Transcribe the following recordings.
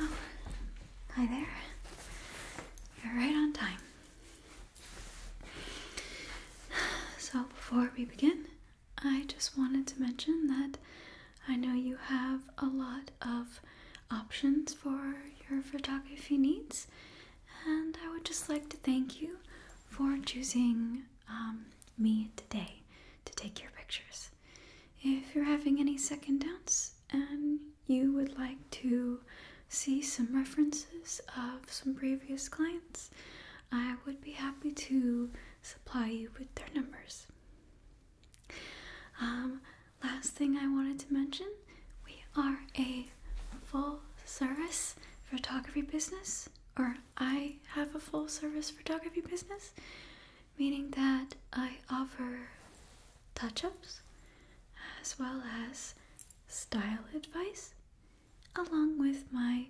Oh, hi there. You're right on time. So, before we begin, I just wanted to mention that I know you have a lot of options for your photography needs, and I would just like to thank you for choosing um, me today to take your pictures. If you're having any second doubts and you would like to see some references of some previous clients, I would be happy to supply you with their numbers. Um, last thing I wanted to mention we are a full service photography business, or I have a full service photography business meaning that I offer touch ups as well as style advice, along with my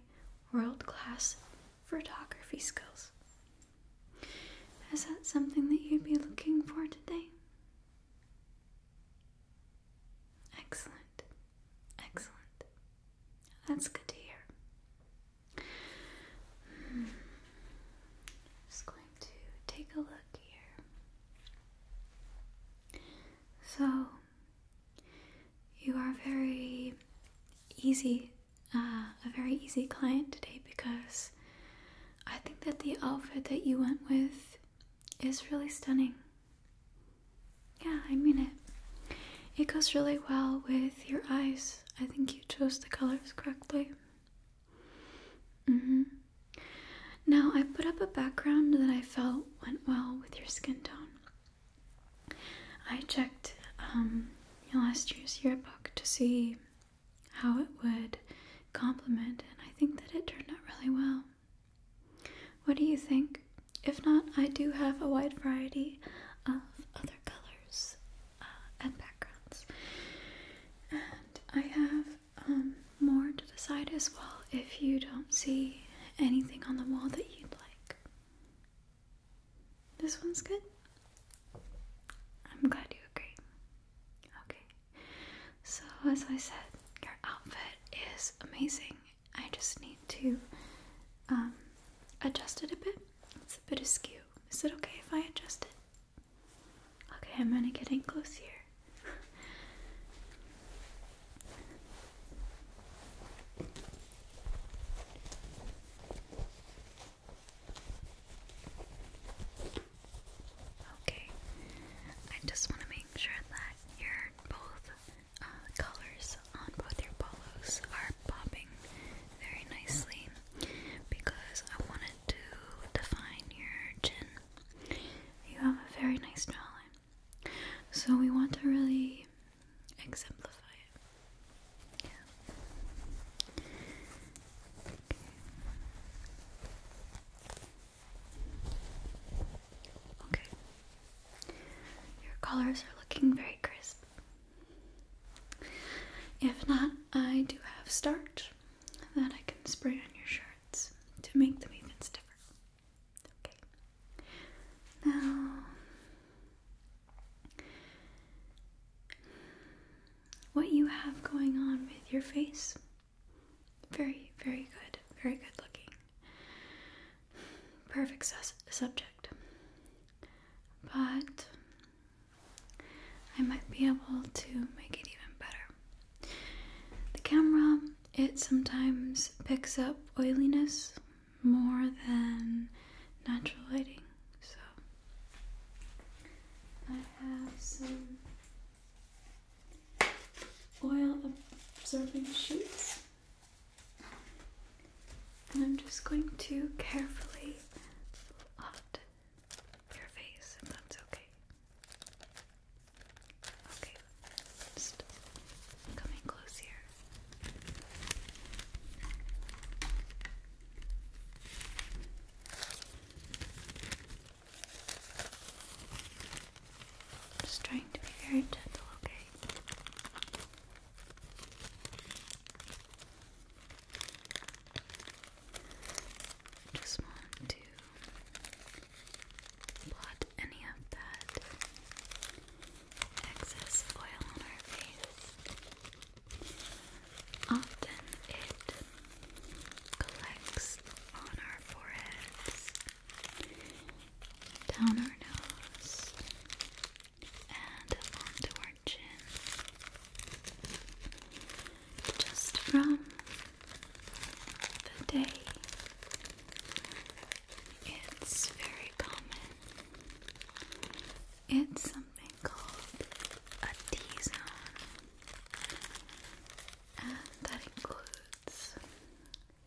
world class photography skills. Is that something that you'd be looking for today? Excellent. Excellent. That's good to hear. Hmm. Just going to take a look here. So, you are very easy, uh, a very easy client today because I think that the outfit that you went with is really stunning. Yeah, I mean it. It goes really well with your eyes. I think you chose the colors correctly. Mm-hmm. Now, I put up a background that I felt went well with your skin tone. I checked um, last year's yearbook to see how it would complement, and I think that it turned out really well. What do you think? If not, I do have a wide variety of other colors uh, and backgrounds. And I have um, more to the side as well if you don't see anything on the wall that you'd like. This one's good? I'm glad you agree. Okay. So, as I said, your outfit is amazing. I just need to um, adjust it a bit. It's a bit askew, is it okay if I adjust it? Okay, I'm gonna get in close here. Okay, I just want to make sure that your both uh, colors on both your polos are popping very nicely because I wanted to define your chin. You have a very nice jawline, so we want to really exemplify it. Yeah. Okay. Your colors are looking very crisp. If not, I do have starch that I can spray on your shirts to make them even stiffer. Okay. Now, what you have going on with your face, very, very good, very good looking. Perfect su subject. But I might be able to make it even better. The camera, it sometimes picks up oiliness more than natural lighting, so I have some oil absorbing sheets. And I'm just going to carefully blot your face, if that's okay. Okay, just coming close Just trying to be very gentle, okay? Just want to blot any of that excess oil on our face. Often it collects on our foreheads, down our nose, and onto our just from the day. It's very common. It's something called a T zone, and that includes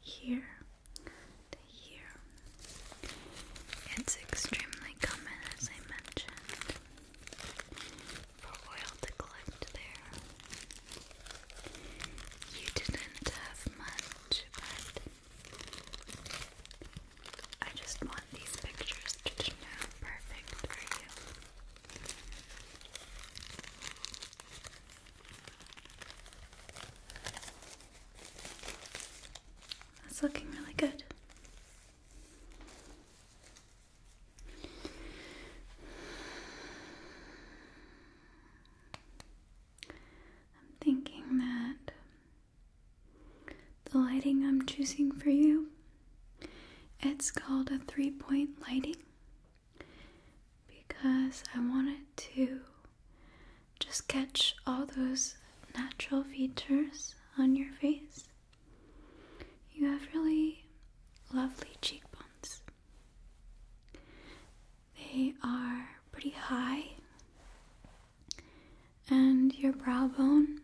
here to here it's extremely common, as I mentioned, for oil to collect there. You didn't have much, but I just want these pictures to know perfect for you. That's looking really good. I'm thinking that the lighting I'm choosing for you it's called a three-point lighting because I want it to just catch all those natural features on your face. You have really lovely cheekbones. They are pretty high, and your brow bone.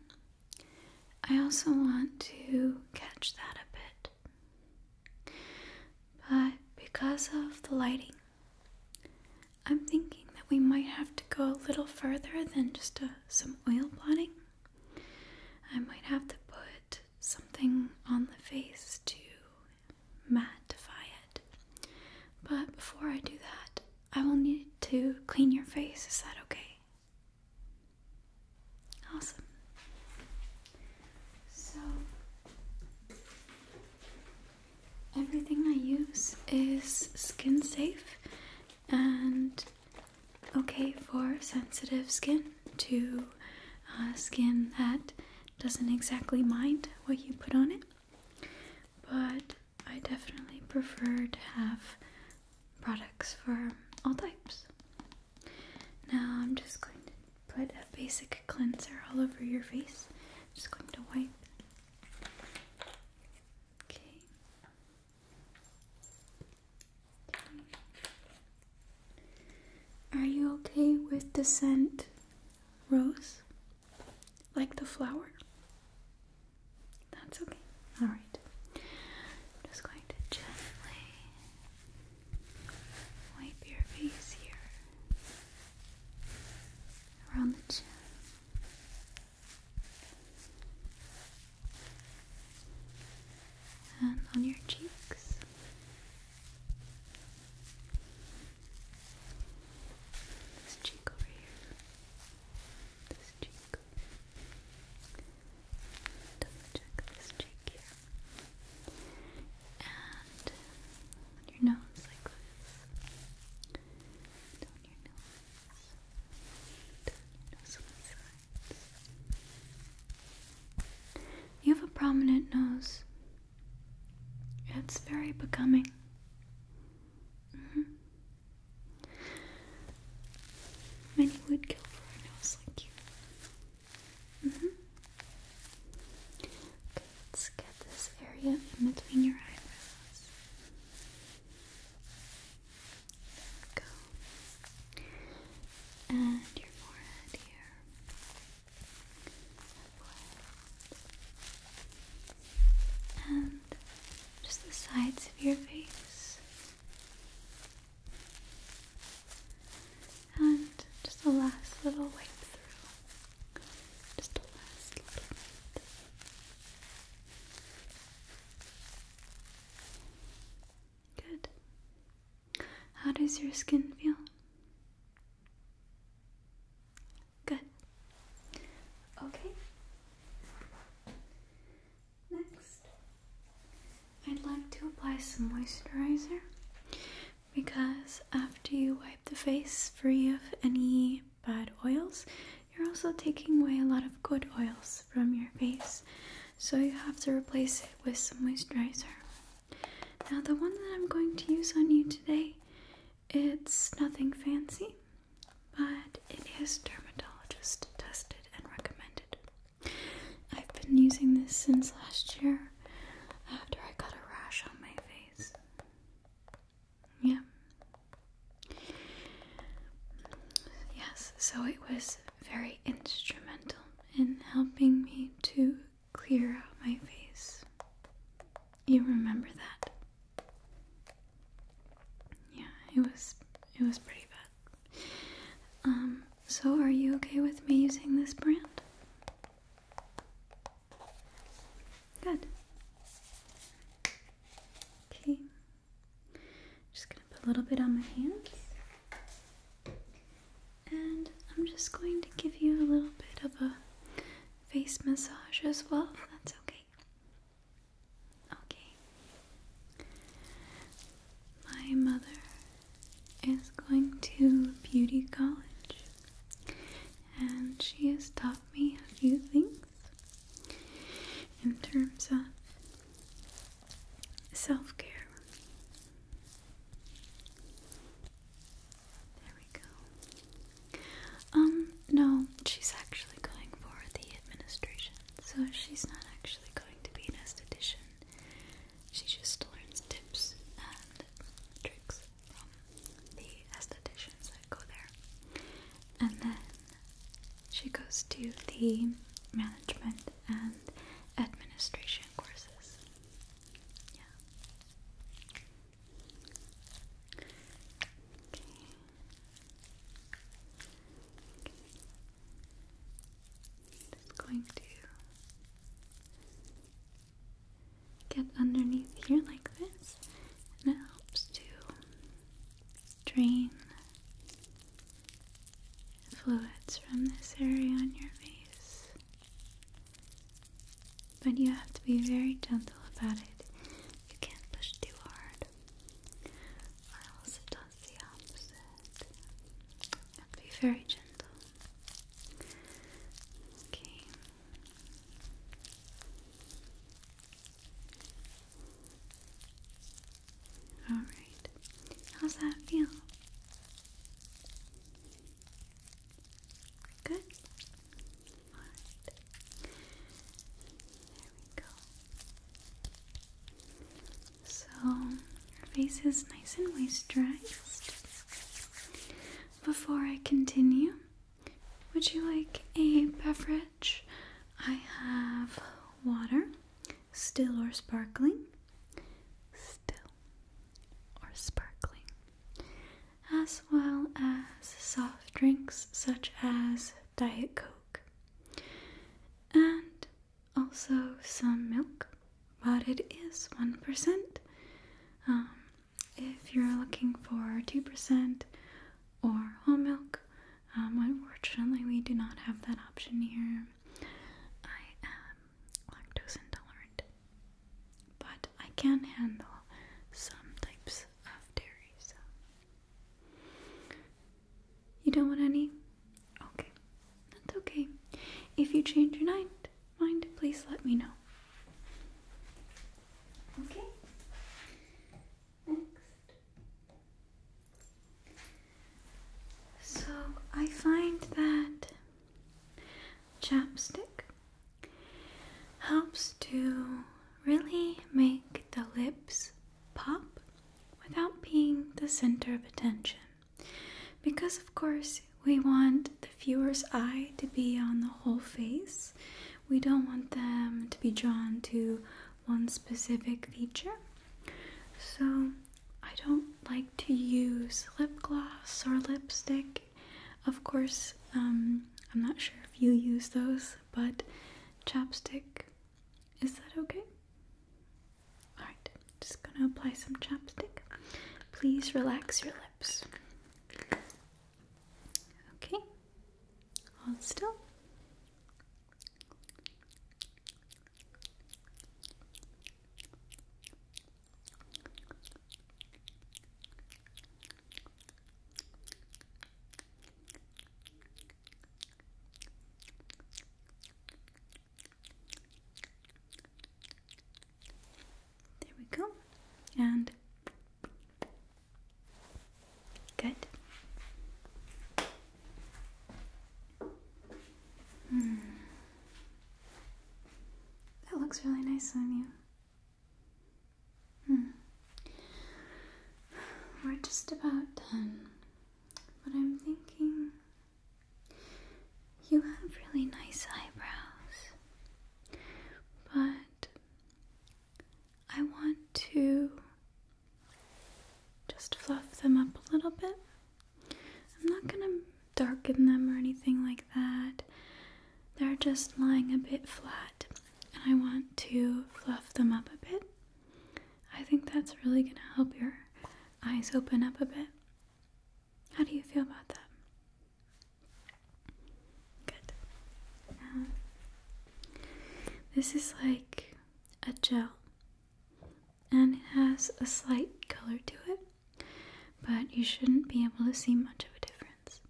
I also want to catch that a bit, but because of the lighting, I'm thinking that we might have to go a little further than just a, some oil blotting. I might have to put something on the face to mattify it. But before I do that, I will need to clean your face. Is that okay? Awesome. So, everything I use is skin safe and okay for sensitive skin to uh, skin that doesn't exactly mind what you put on it. But I definitely prefer to have products for all types. Now I'm just going to put a basic cleanser all over your face. just going to wipe Okay. Are you okay with the scent rose? Like the flower? That's okay. Alright. just going to gently wipe your face here around the chin and on your cheeks. This cheek over here. This cheek. this cheek here. And on your nose like this. Down your nose. You have a prominent nose. It's very becoming. Mm-hmm. Many would kill for a nose like you. Mm-hmm. let's get this area in between your eyebrows go. And your forehead here. And just the sides of your face. And just the last little wipe through. Just the last little bit. Good. How does your skin feel? Good. Okay. Next, I'd like to apply some moisturizer because after you wipe the face free of any bad oils. You're also taking away a lot of good oils from your face, so you have to replace it with some moisturizer. Now, the one that I'm going to use on you today, it's nothing fancy, but it is dermatologist tested and recommended. I've been using this since last year after I got a rash on my face. Yeah. Yes, so it was very instrumental in helping me to clear out my face. You remember that? Yeah, it was it was pretty bad. Um, so are you okay with me using this brand? Good. Okay. Just gonna put a little bit on my hands. And I'm just going to give you a little bit of a face massage as well, that's okay. Okay. My mother is going to beauty college and she has taught me a few things in terms of self care. There we go. Um, no, she's actually going for the administration, so she's not actually going to be an esthetician. She just learns tips and tricks from the estheticians that go there. And then she goes to the management and administration courses. Yeah. Okay. okay. Just going to get underneath here like this, and it helps to drain fluids from this area on your face. But you have to be very gentle about it. You can't push too hard, or else it does the opposite. You have be very gentle. Okay, all right. How's that feel? Good. There we go. So your face is nice and moisturized. Before I continue, would you like a beverage? I have water, still or sparkling. Still or sparkling. As well as soft drinks such as Diet Coke. And also some milk, but it is 1% if you're looking for 2% or whole milk, um, unfortunately, we do not have that option here. I am lactose intolerant, but I can handle some types of dairy. So, you don't want any? Okay, that's okay. If you change your mind, mind please let me know. Okay. Next. So I find that chapstick helps to really make the lips pop without being the center of attention. Because, of course, we want the viewer's eye to be on the whole face, we don't want them to be drawn to one specific feature. So, I don't like to use lip gloss or lipstick. Of course, um, I'm not sure if you use those, but chapstick, is that okay? Alright, just gonna apply some chapstick. Please relax your lips. Okay, hold still. There we go. And Good. Hmm. That looks really nice on you. Hmm. We're just about done, but I'm thinking you have really nice eyebrows, but I want to just fluff them up a little bit. I'm not going to darken them or anything like that. They're just lying a bit flat, and I want to fluff them up a bit. I think that's really going to help your eyes open up a bit. How do you feel about that? Good. Um, this is like a gel, and it has a slight color to it, but you shouldn't be able to see much of a difference.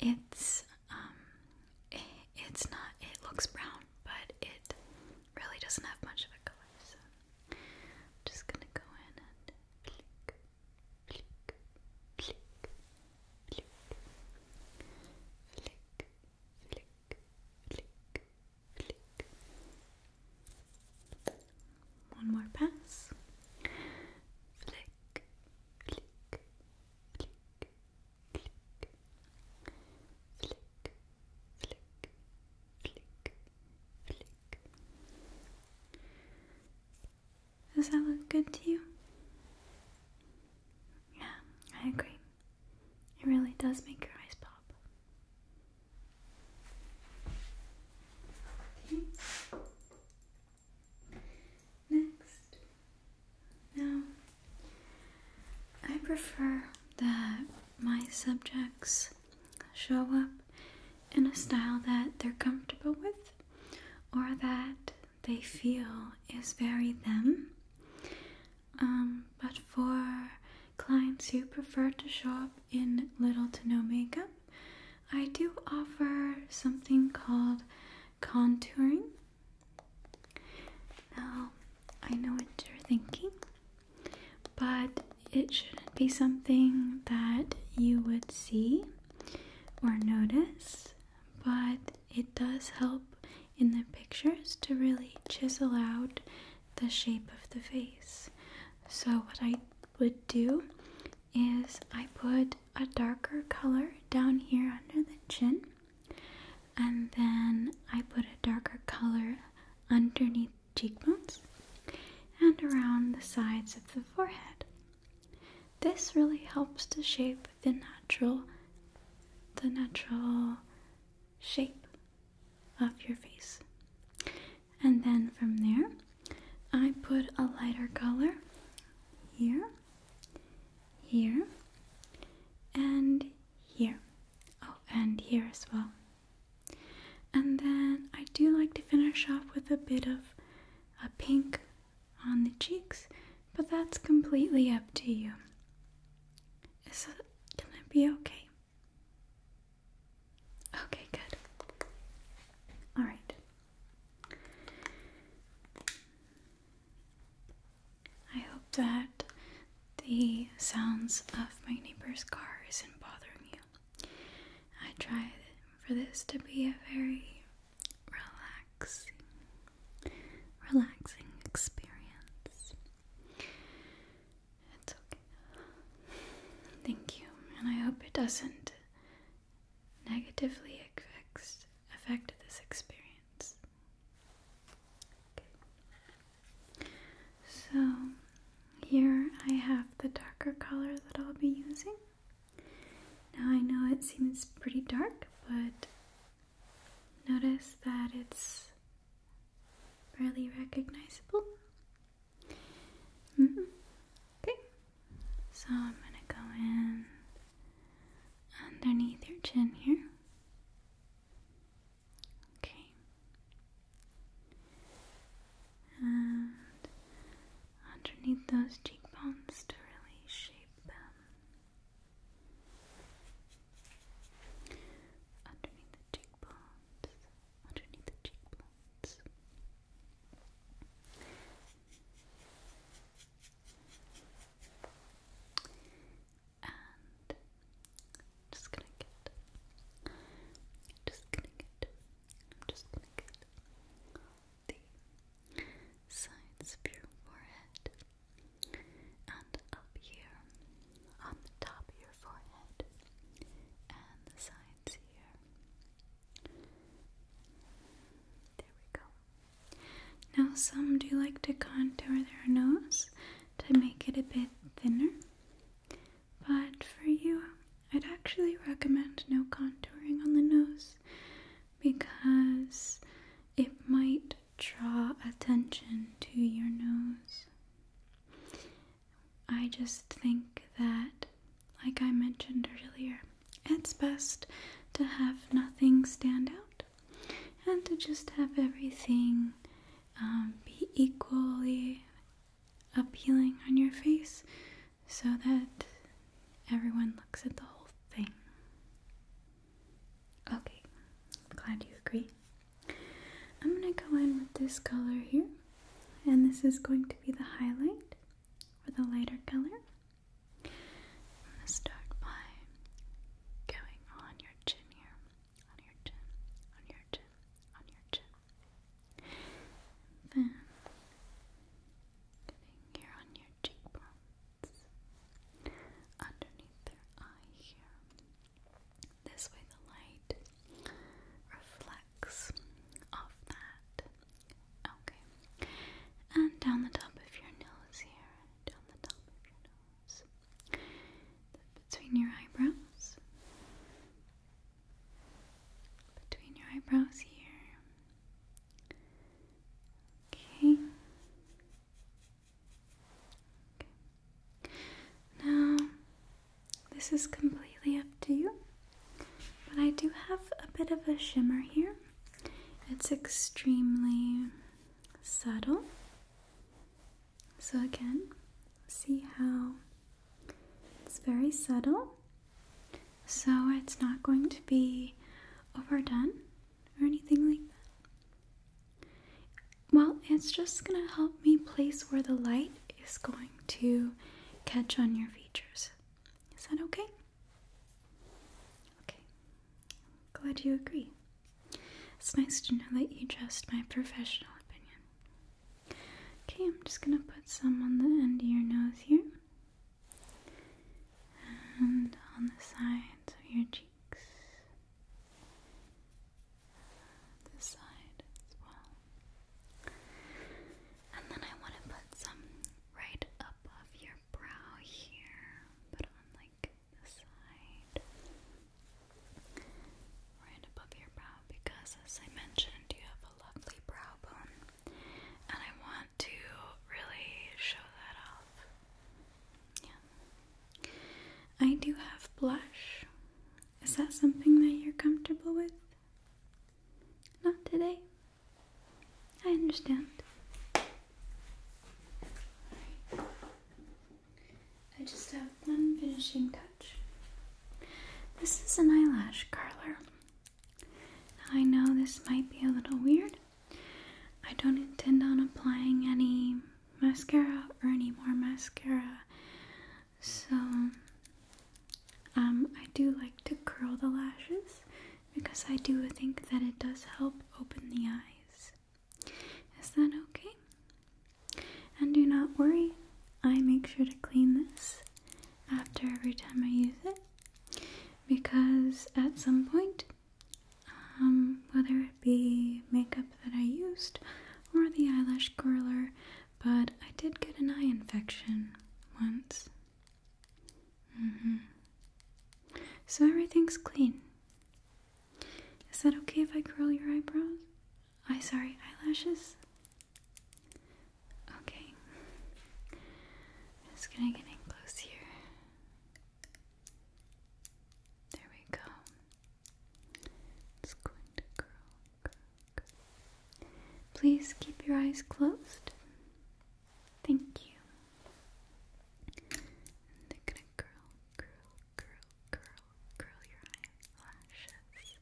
It's um, it's not. It looks brown, but it really doesn't have much of a color. So, I'm just gonna go in and flick flick, flick, flick, flick, flick, flick, flick. One more pass. Flick, flick, flick, flick, flick, flick, flick, flick. Does that look good to you? Yeah, I agree. It really does make your eyes pop. Next. Now, I prefer that my subjects show up in a style that they're comfortable with or that they feel is very them. Um, but for clients who prefer to shop in little to no makeup, I do offer something called contouring. Now, I know what you're thinking, but it shouldn't be something that you would see or notice, but it does help in the pictures to really chisel out the shape of the face. So, what I would do is I put a darker color down here under the chin, and then I put a darker color underneath cheekbones and around the sides of the forehead. This really helps to shape the natural the natural shape of your face. And then from there, I put a lighter color here, here, and here. Oh, and here as well. And then I do like to finish off with a bit of a pink on the cheeks, but that's completely up to you. Is it gonna be okay? Okay, good. Alright. I hope that the sounds of my neighbor's car isn't bothering you. I tried for this to be a very relaxing, relaxing experience. It's okay. Thank you, and I hope it doesn't negatively affects, affect this experience. So, here I have the darker color that I'll be using. Now I know it seems pretty dark, but notice that it's barely recognizable. Mm-hmm. Okay, so I'm gonna go in underneath your chin here. Okay, underneath those cheekbones to really shape them. Underneath the cheekbones, underneath the cheekbones. And just going just going just the sides of your forehead and up here on the top of your forehead and the sides here. There we go. Now, some do like to contour their nose to make it a bit thinner. But for you, I'd actually recommend no contouring on the nose because it might draw attention to your nose. I just think that, like I mentioned earlier, it's best to have nothing stand out and to just have everything um, be equally appealing on your face so that everyone looks at the whole thing. Okay, I'm glad you agree. I'm going to go in with this color here, and this is going to be the highlight or the lighter color. I'm going to start by going on your chin here, on your chin, on your chin, on your chin, then here on your cheekbones, underneath their eye here. This way the light reflects off that. Okay. And down the top of your nose here. Down the top of your nose. Between your eyebrows between your eyebrows here. Okay. Now, this is completely up to you, but I do have a bit of a shimmer here. It's extremely subtle. So, again, see how it's very subtle, so it's not going to be overdone or anything like that. Well, it's just going to help me place where the light is going to catch on your features. Is that okay? Okay. Glad you agree. It's nice to know that you trust my professional opinion. Okay, I'm just going to put some on the end of your nose here and on the sides of your cheeks. This side as well. And then I want to put some right above your brow here, but on like the side. Right above your brow because as I mentioned, you have a lovely brow bone, and I want to really show that off. Yeah. I do have blush. Is that something that you're comfortable with? Not today. I understand. I just have one finishing touch. This is an eyelash curler. I know this might be a little weird. I don't intend on applying any mascara or any more mascara. So um I do like to curl the lashes because I do think that it does help open the eyes. Is that okay? And do not worry, I make sure to clean this after every time I use it because at some point, um, whether it be makeup that I used or the eyelash curler, but I did get an eye infection once. Mm-hmm. So everything's clean. Is that okay if I curl your eyebrows? I sorry, eyelashes? Okay. just gonna get in close here. There we go. It's going to curl, curl, curl. Please keep your eyes closed. Thank you. they're gonna curl, curl, curl, curl, curl your eye eyelashes.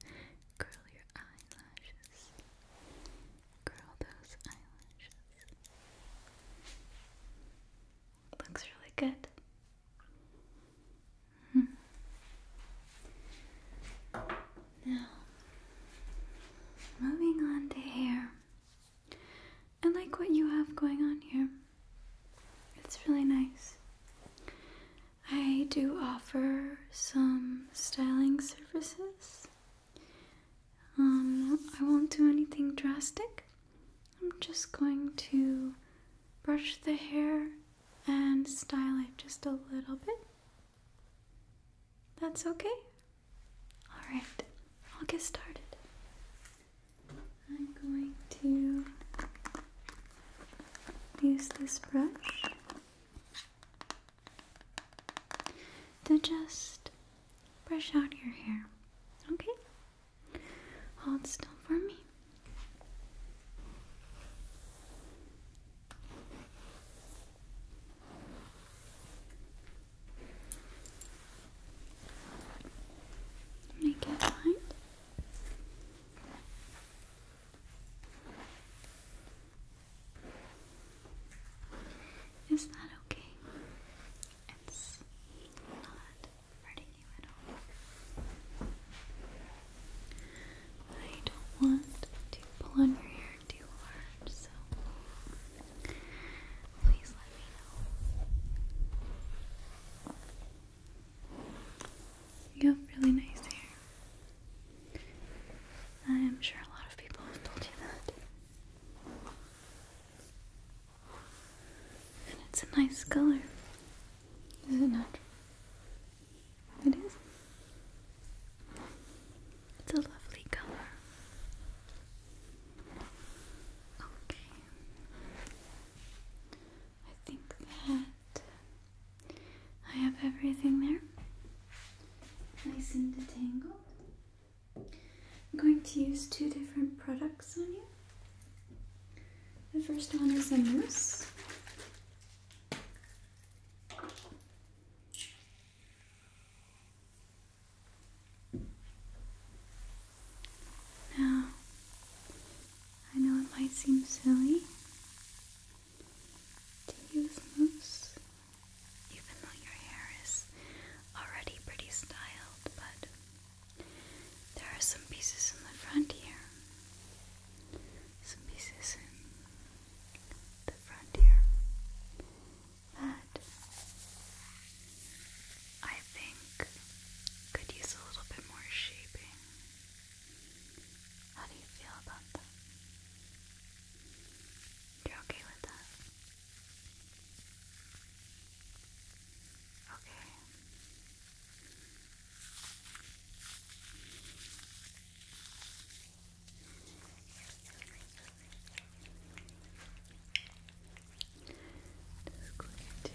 Curl your eyelashes. Curl those eyelashes. Looks really good. Hmm. Now, moving on to hair. I like what you have going on here. It's really nice. I do offer some styling services. Um, I won't do anything drastic. I'm just going to brush the hair and style it just a little bit. That's okay? Alright, I'll get started. I'm going to use this brush to just brush out your hair. Okay? Hold still for me. Make it light. Is that okay? It's not hurting you at all. I don't want to pull on your hair too hard, so please let me know. You have really nice hair. I'm sure a lot of people have told you that. And it's a nice color. Is it not? It is. It's a lovely color. Okay. I think that I have everything there, nice and detangled. I'm going to use two different products on you. The first one is a mousse. Now, I know it might seem silly, to use mousse, even though your hair is already pretty styled, but there are some pieces in the front here, some pieces in the front here that I think could use a little bit more shaping. How do you feel about that? You're okay with that? Okay. Just going to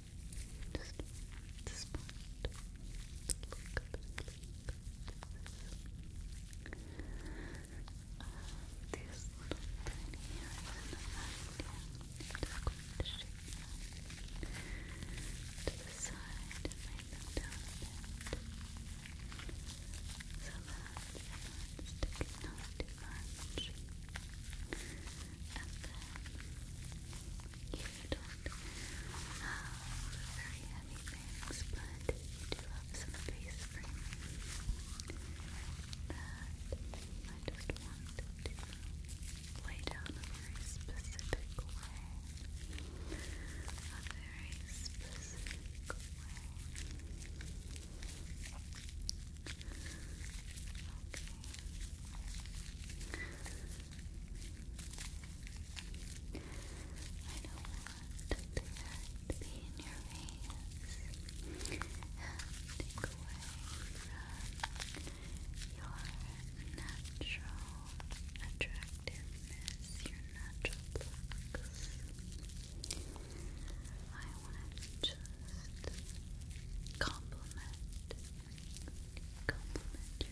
Just this part. Look up and look. Uh, these little tiny hairs in the back to the side and lay them down a So that it's sticking not too much. And then you don't uh, very heavy things, but you do have some space for I just want to lay down a very specific way, a very specific way. Okay. I don't want to be in your face and take away your natural attractiveness, your natural looks. I want to just compliment compliment your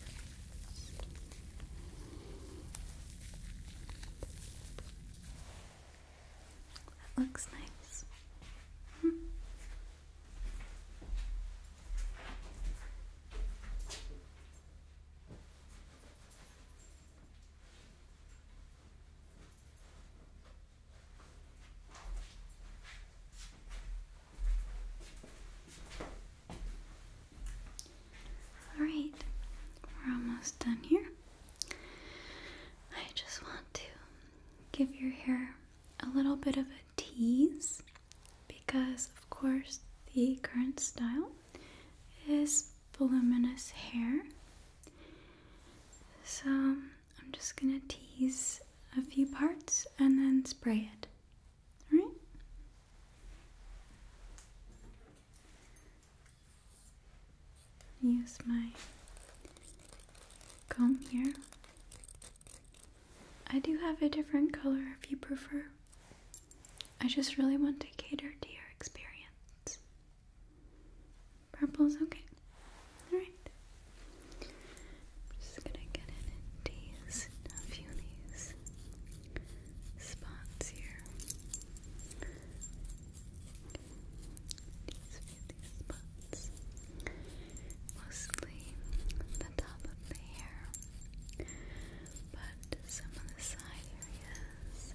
That looks nice. Hmm. Alright, we're almost done here. I just want to give your hair a little bit of a tease because, of course, the current style is voluminous hair. So I'm just gonna tease a few parts and then spray it. All right? Use my comb here. I do have a different color if you prefer. I just really want to cater to your experience. Purple's okay. Alright. I'm just gonna get in and a few these spots here. Tease a few these spots. Mostly the top of the hair, but some of the side areas.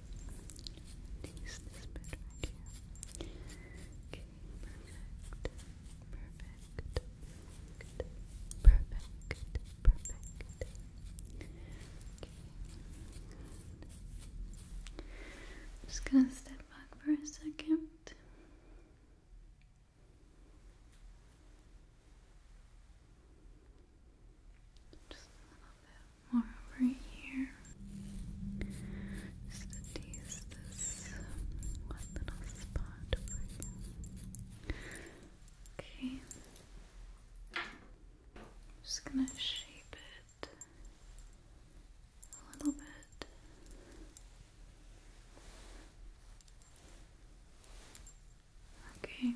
just gonna step back for a second. Just a little bit more over here. Just to tease this one little spot Okay. just gonna shape it a little bit. Okay.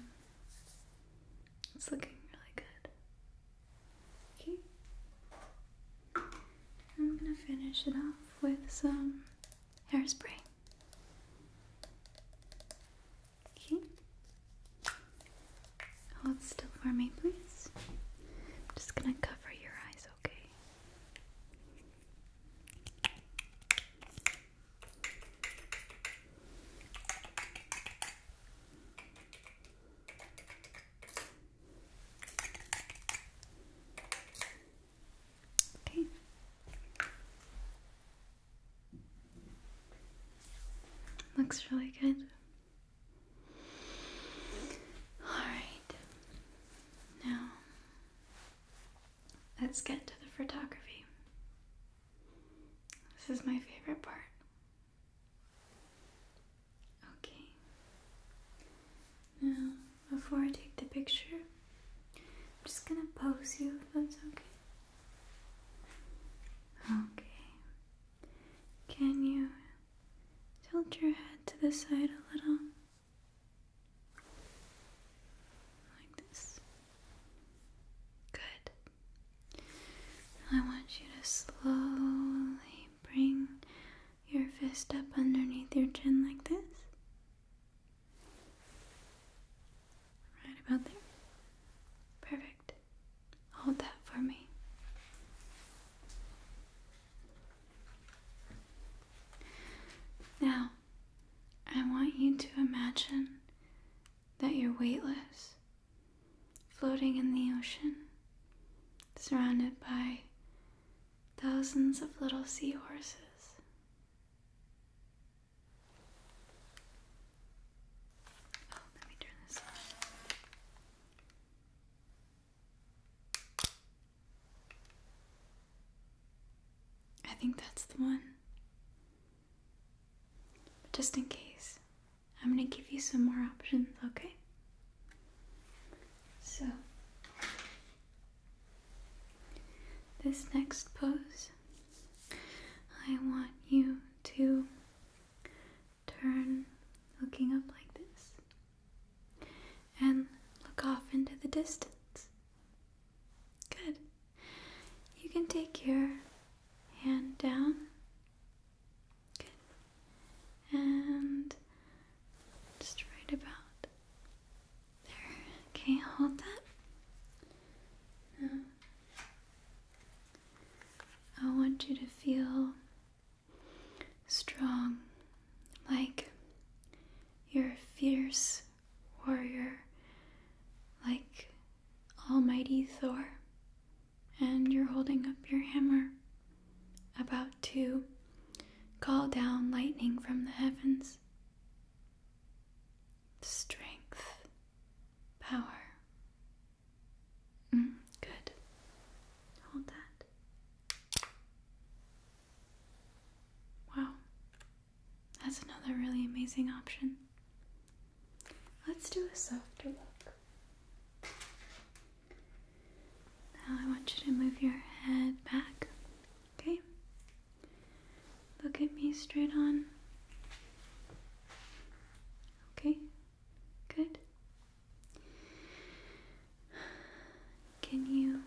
It's looking really good. Okay. I'm gonna finish it off with some hairspray. Okay. Hold still for me, please. I'm just gonna cover your eyes, okay? Okay. Looks really good. All right. Now, let's get to the photography. This is my favorite part. Okay. Now, before I take the picture, I'm just gonna pose you if that's okay. Okay. Can you tilt your head to the side a little? Like this. Good. I want you to slowly bring your fist up underneath your chin like this. Right about there. Perfect. Hold that for me. Now, I want you to imagine that you're weightless floating in the ocean, surrounded by thousands of little seahorses. Oh, let me turn this on. I think that's the one. just in case, I'm gonna give you some more options, okay? So, this next pose, I want you to turn looking up like this and look off into the distance. Good. You can take your hand down Good. And just right about there. Okay, hold that. I want you to feel strong, like you're a fierce warrior, like Almighty Thor and you're holding up your hammer, about to call down lightning from the heavens. Strength, power. Mm, good. Hold that. Wow. That's another really amazing option. Let's do a softer look. Now I want you to move your head back. Okay? Look at me straight on. Okay? Good. Can you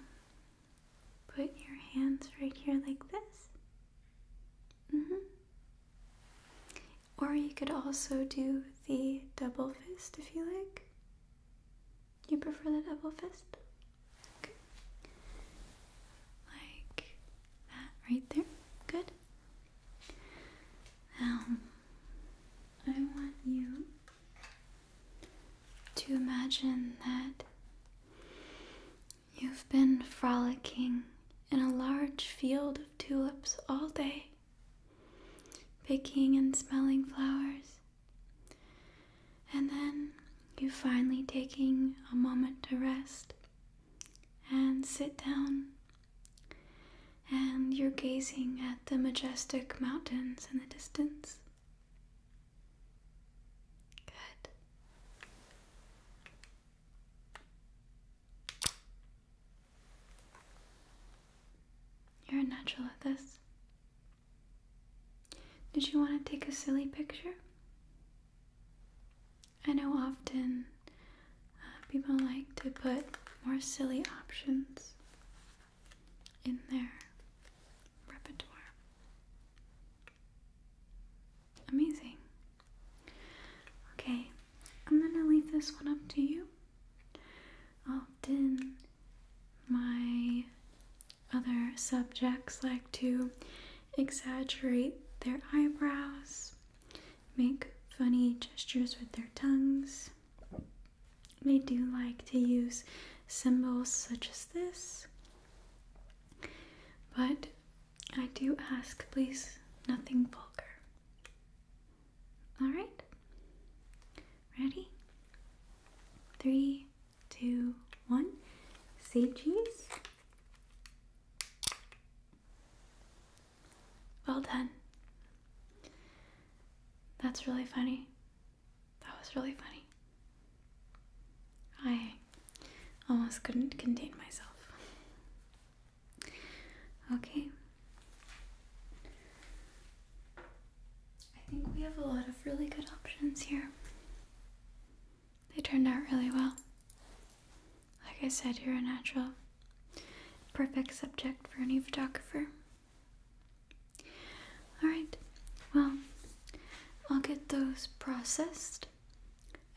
put your hands right here like this? hmm. Or you could also do the double fist if you like. You prefer the double fist? Like that right there. Good. Now, I want you to imagine that you've been frolicking in a large field tulips all day, picking and smelling flowers, and then you finally taking a moment to rest and sit down. And you're gazing at the majestic mountains in the distance. Good. You're a natural at this. Did you want to take a silly picture? I know often uh, people like to put more silly options in their repertoire. Amazing. Okay, I'm gonna leave this one up to you. Often, my other subjects like to exaggerate their eyebrows, make funny gestures with their tongues. They do like to use symbols such as this, but I do ask, please, nothing vulgar. Alright? Ready? Three, two, one. Say cheese. Well done. That's really funny. That was really funny. I almost couldn't contain myself. Okay. I think we have a lot of really good options here. They turned out really well. Like I said, you're a natural. Perfect subject for any photographer. Alright, well, I'll get those processed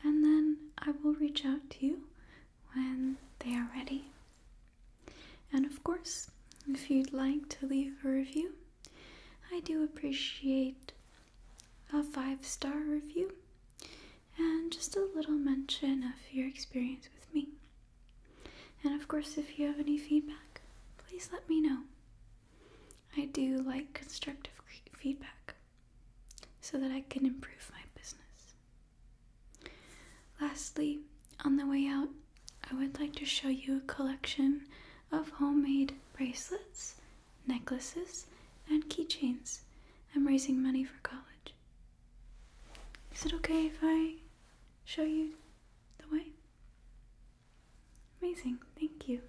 and then I will reach out to you when they are ready. And of course, if you'd like to leave a review, I do appreciate a five star review and just a little mention of your experience with me. And of course, if you have any feedback, please let me know. I do like constructive feedback so that I can improve my business. Lastly, on the way out, I would like to show you a collection of homemade bracelets, necklaces, and keychains. I'm raising money for college. Is it okay if I show you the way? Amazing, thank you.